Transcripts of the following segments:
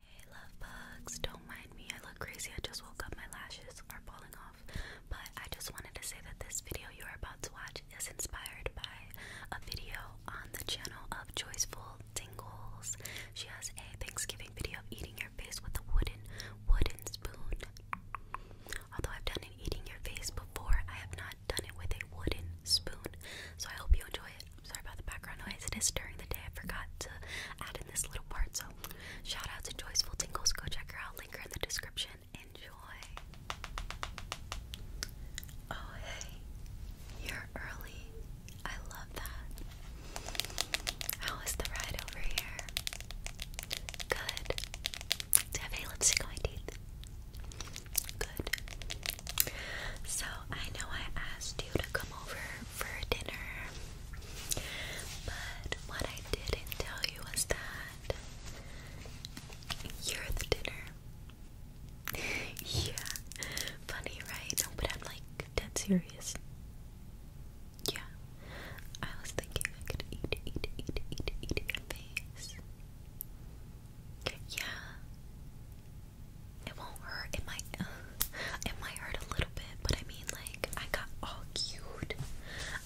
Hey love bugs, don't mind me. I look crazy. I just woke up. My lashes are falling off. But I just wanted to say that this video you are about to watch is inspired by a video on the channel of Joyful Tingles. She has a Thanksgiving video of eating your face with a wooden wooden spoon. Although I've done eating your face before, I have not done it with a wooden spoon. So I hope you enjoy it. I'm sorry about the background noise. It is during the day. I forgot to add in this little part. So, shout out to Joyful Tingles. Go check her out. Link her in the description. Enjoy. Oh, hey. You're early. I love that. How is the ride over here? Good. Do you have any my teeth? Good. So I know I asked you to come over for dinner, but what I didn't tell you was that you're the dinner. yeah, funny, right? No, but I'm like dead serious. Yeah, I was thinking I could eat, eat, eat, eat, eat your face. Yeah, it won't hurt. It might. Uh, it might hurt a little bit, but I mean, like, I got all cute.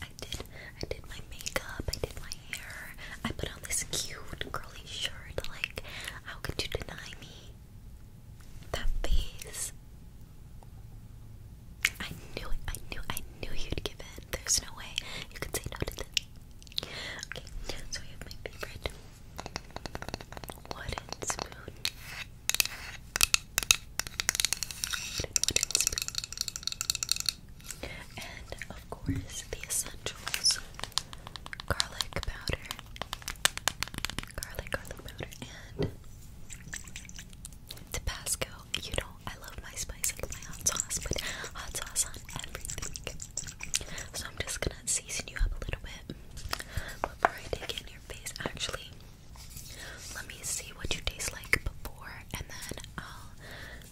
I did. I did my makeup. I did my hair. I put on this cute curly shirt. Like, how could you deny me? That face. I knew it. I knew. I knew you'd give in. There's no way you could say no to this. Okay, so we have my favorite wooden spoon. Wooden, spoon. And of course, the essentials garlic powder, garlic, garlic powder, and Tabasco. You know, I love my spice, and my hot sauce, but hot sauce on everything. So I'm just gonna season you up a little bit before I take it in your face. Actually, let me see what you taste like before, and then I'll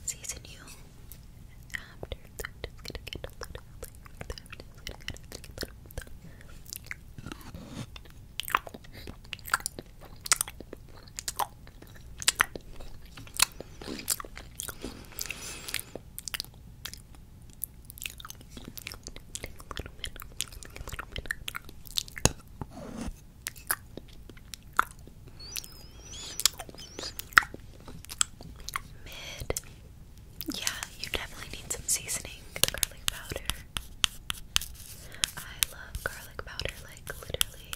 season you after. Yeah, you definitely need some seasoning. Garlic powder. I love garlic powder, like literally.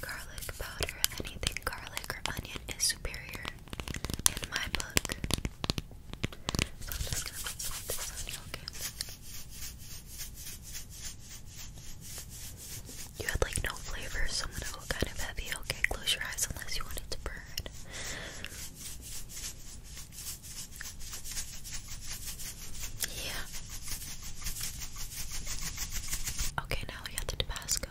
Garlic powder, anything garlic or onion is superior in my book. You had like no flavor, so I'm gonna go kind of heavy. Okay, close your eyes unless you want to burn. Yeah. Okay, now we got the Tabasco.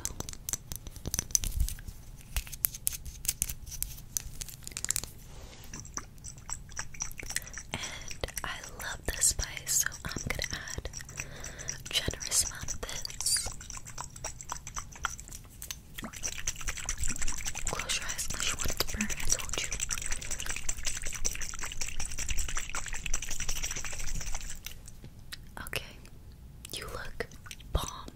And I love the spice, so I'm gonna add a generous amount of this. Close your eyes unless you want it to burn, I told you. Okay, you look bomb.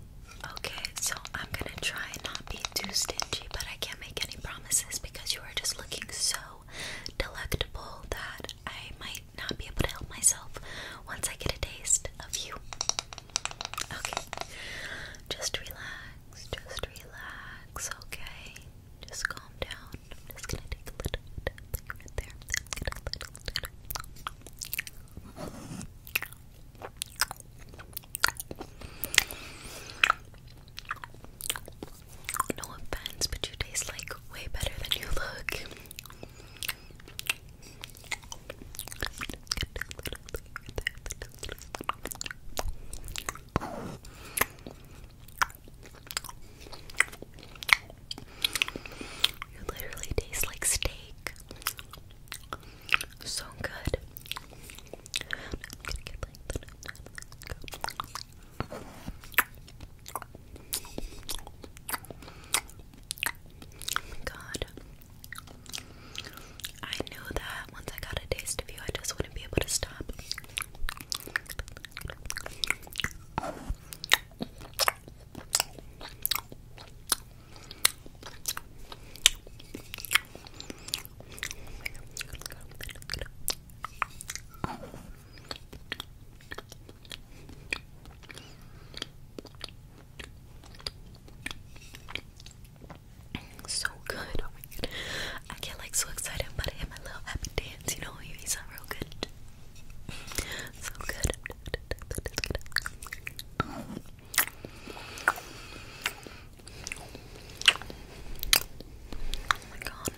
Okay, so I'm gonna try and not be too stingy, but I can't make any promises because you are just looking so delectable that I might not be able to help myself once I get a taste of you. Okay, just relax, just relax, okay? Just calm down. I'm just gonna take a little bit right there. No offense, but you taste like way better than you look. You literally taste like steak. So good. Oh my god. I knew that once I got a taste of you, I just wouldn't be able to stop. So good. Oh my god. I get like so excited about it in my little happy dance, you know, you eat real good. So good. Oh my god.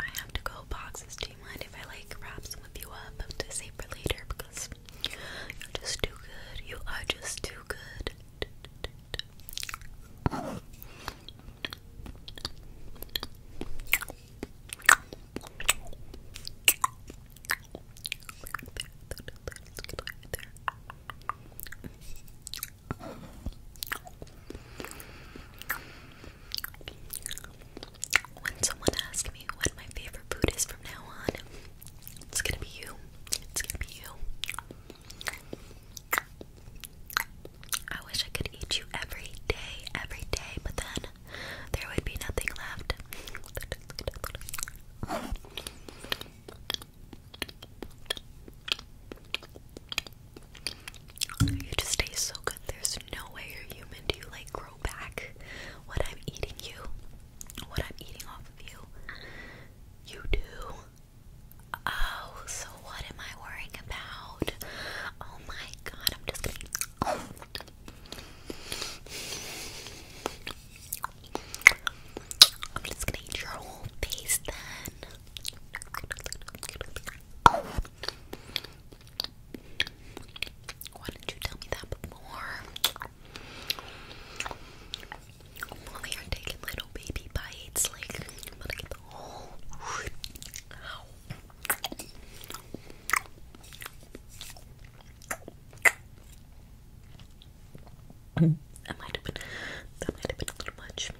I have to go boxes. Do you mind if I like wrap some of you up to save for later? Because you're just too good. You are just too good. When someone asks me what my favorite food is from now on, it's gonna be you. It's gonna be you. I wish I could eat you every day, every day, but then there would be nothing left. You just taste so good. There's no way you're human. Do you like grow back what I'm eating you? What I'm eating off of you? You do. Oh, so what am I worrying about? Oh my my god, I'm just gonna. I'm just gonna eat your whole face then. Why didn't you tell me that before? we are taking little baby bites, like, i get the whole that might have been that might have much.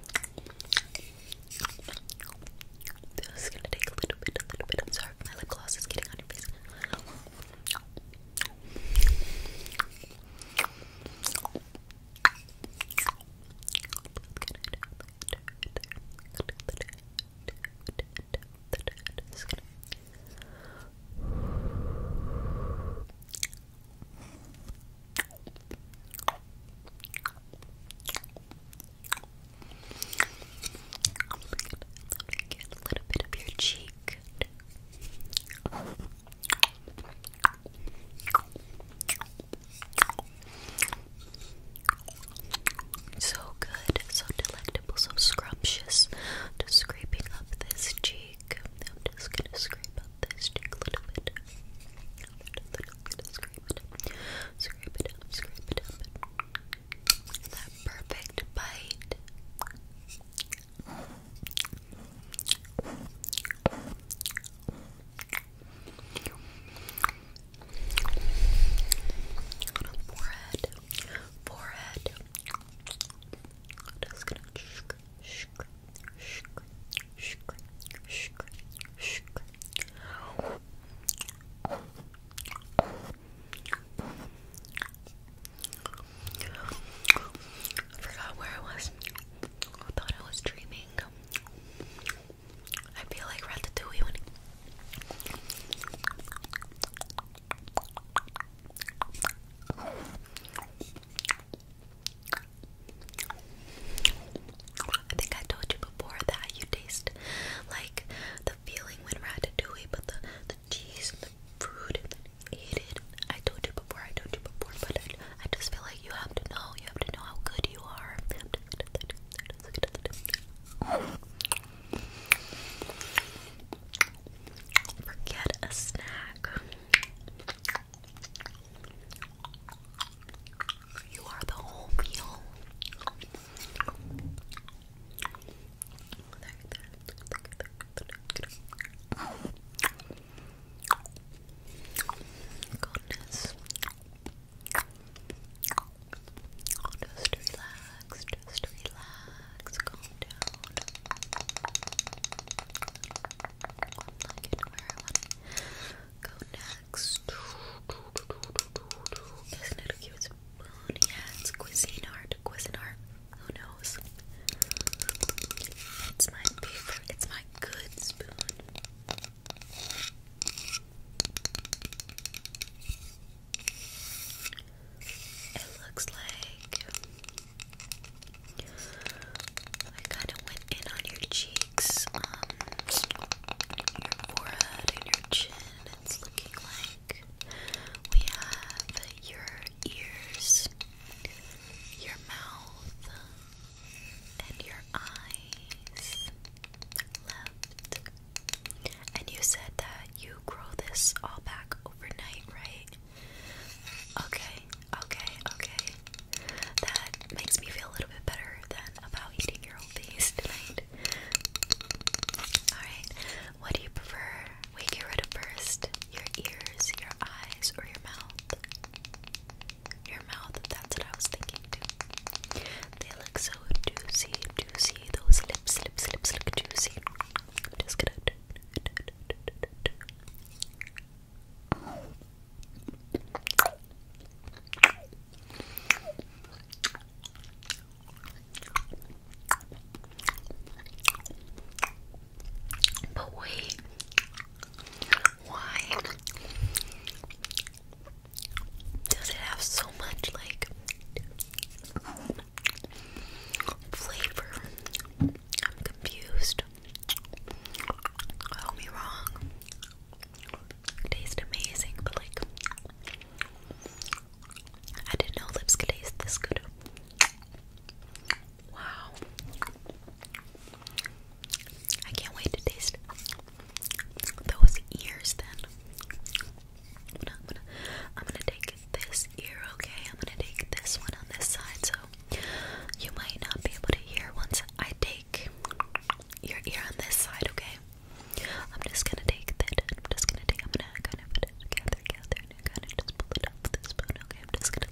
This is gonna take a little bit, a little bit. I'm sorry, my lip gloss is getting on your face. Get a little bit of your cheek. So good, so delectable, so scrumptious. Just scraping up this cheek. I'm just gonna scrape up this cheek a little bit. I'm going scrape it up, scrape it up, scrape it up. That perfect bite. Forehead. Forehead. Just gonna shk, shk, shk, shk, shk, shk. I forgot where I was. I thought I was dreaming. I feel like Ratatouille when I think I told you before that you taste like the feeling when Ratatouille but the, the cheese and the fruit and then eat it. I told you before, I told you before, but I, just feel you have to know, you have to know how good you are. Forget a snack. You are the whole meal. Goodness. Just relax, just relax, calm down. I'm not want to go next. Isn't it cute Yeah, it's cuisine art, Who knows? It's my favorite, it's my good spoon. It looks like I kind of went in on your cheeks, um, your forehead and your chin. It's looking like we have your ears, your mouth, and your eyes left. And you said that you grow this all back overnight, right? Okay, okay, okay. That makes me feel a little bit better than about eating your face Alright, what do you prefer we get rid of first? Your ears, your eyes, or your mouth? your mouth. That's what I was thinking too. They look so juicy, juicy. Those lips, lips, lips look juicy. just gonna. But wait, why does it have so much like flavor? I'm confused. Don't wrong. tastes amazing, but like I didn't know lips could taste this good. Wow. I can't wait to taste those ears then. I'm gonna, I'm gonna, take this ear, okay? I'm gonna take this one on this side, so you might not be able to hear once I take your ear on this side, okay? I'm just gonna take that. I'm just gonna take. I'm gonna kind of gather, gather, and kind of just pull it up with this spoon. Okay, I'm just gonna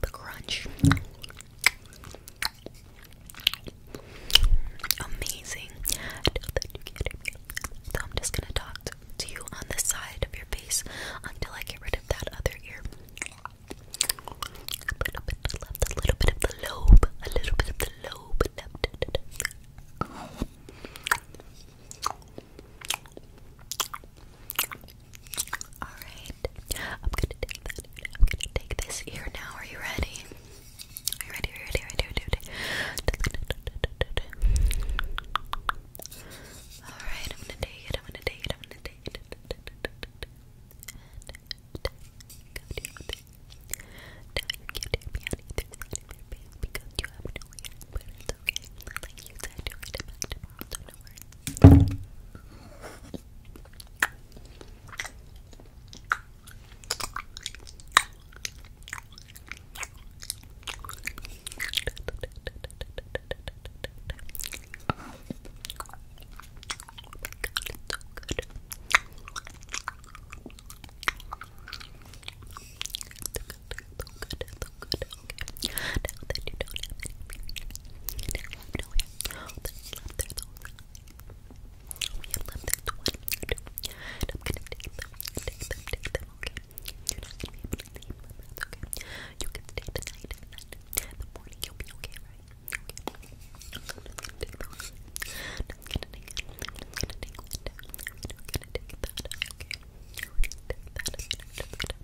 the crunch. Amazing. I So I'm just gonna talk to, you on the side of your face until I get rid of that other ear. A little bit to left, a little bit of the lobe, a little bit of the lobe left. Alright, I'm gonna take that. I'm gonna take this ear now. Are you ready? Are you ready? Are you ready? Are you ready? Alright, I'm gonna take it. I'm gonna take it. I'm gonna take it. Uh, it's okay. Like you said, you'll get it back tomorrow, so no worries. Oh good, so good, okay. Now that you don't have any feelings, now you know everything that's left, there's only we have left there's one, two, and I'm gonna take them, take them, take them, okay? You're not gonna be able to leave them, that's okay. You can stay the night, and then in the morning you'll be okay, right? Okay. I'm just gonna take those. I'm just gonna take it. I'm just gonna take one down. I'm just gonna take that, okay? I'm gonna take that, and I'm just gonna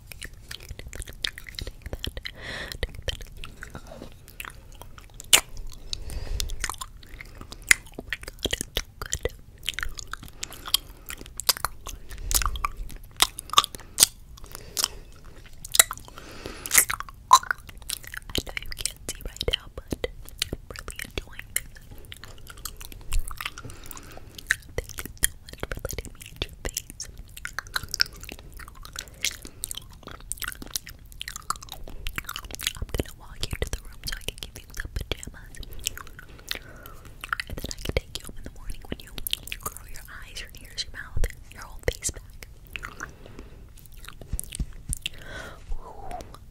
I know you can't see right now, but I'm really enjoying this. Thank you so much for letting me eat your face please. I'm gonna walk you to the room so I can give you some pajamas. And then I can take you home in the morning when you grow your eyes, your ears, your mouth, your whole face back.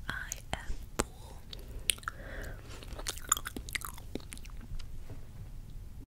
I am full.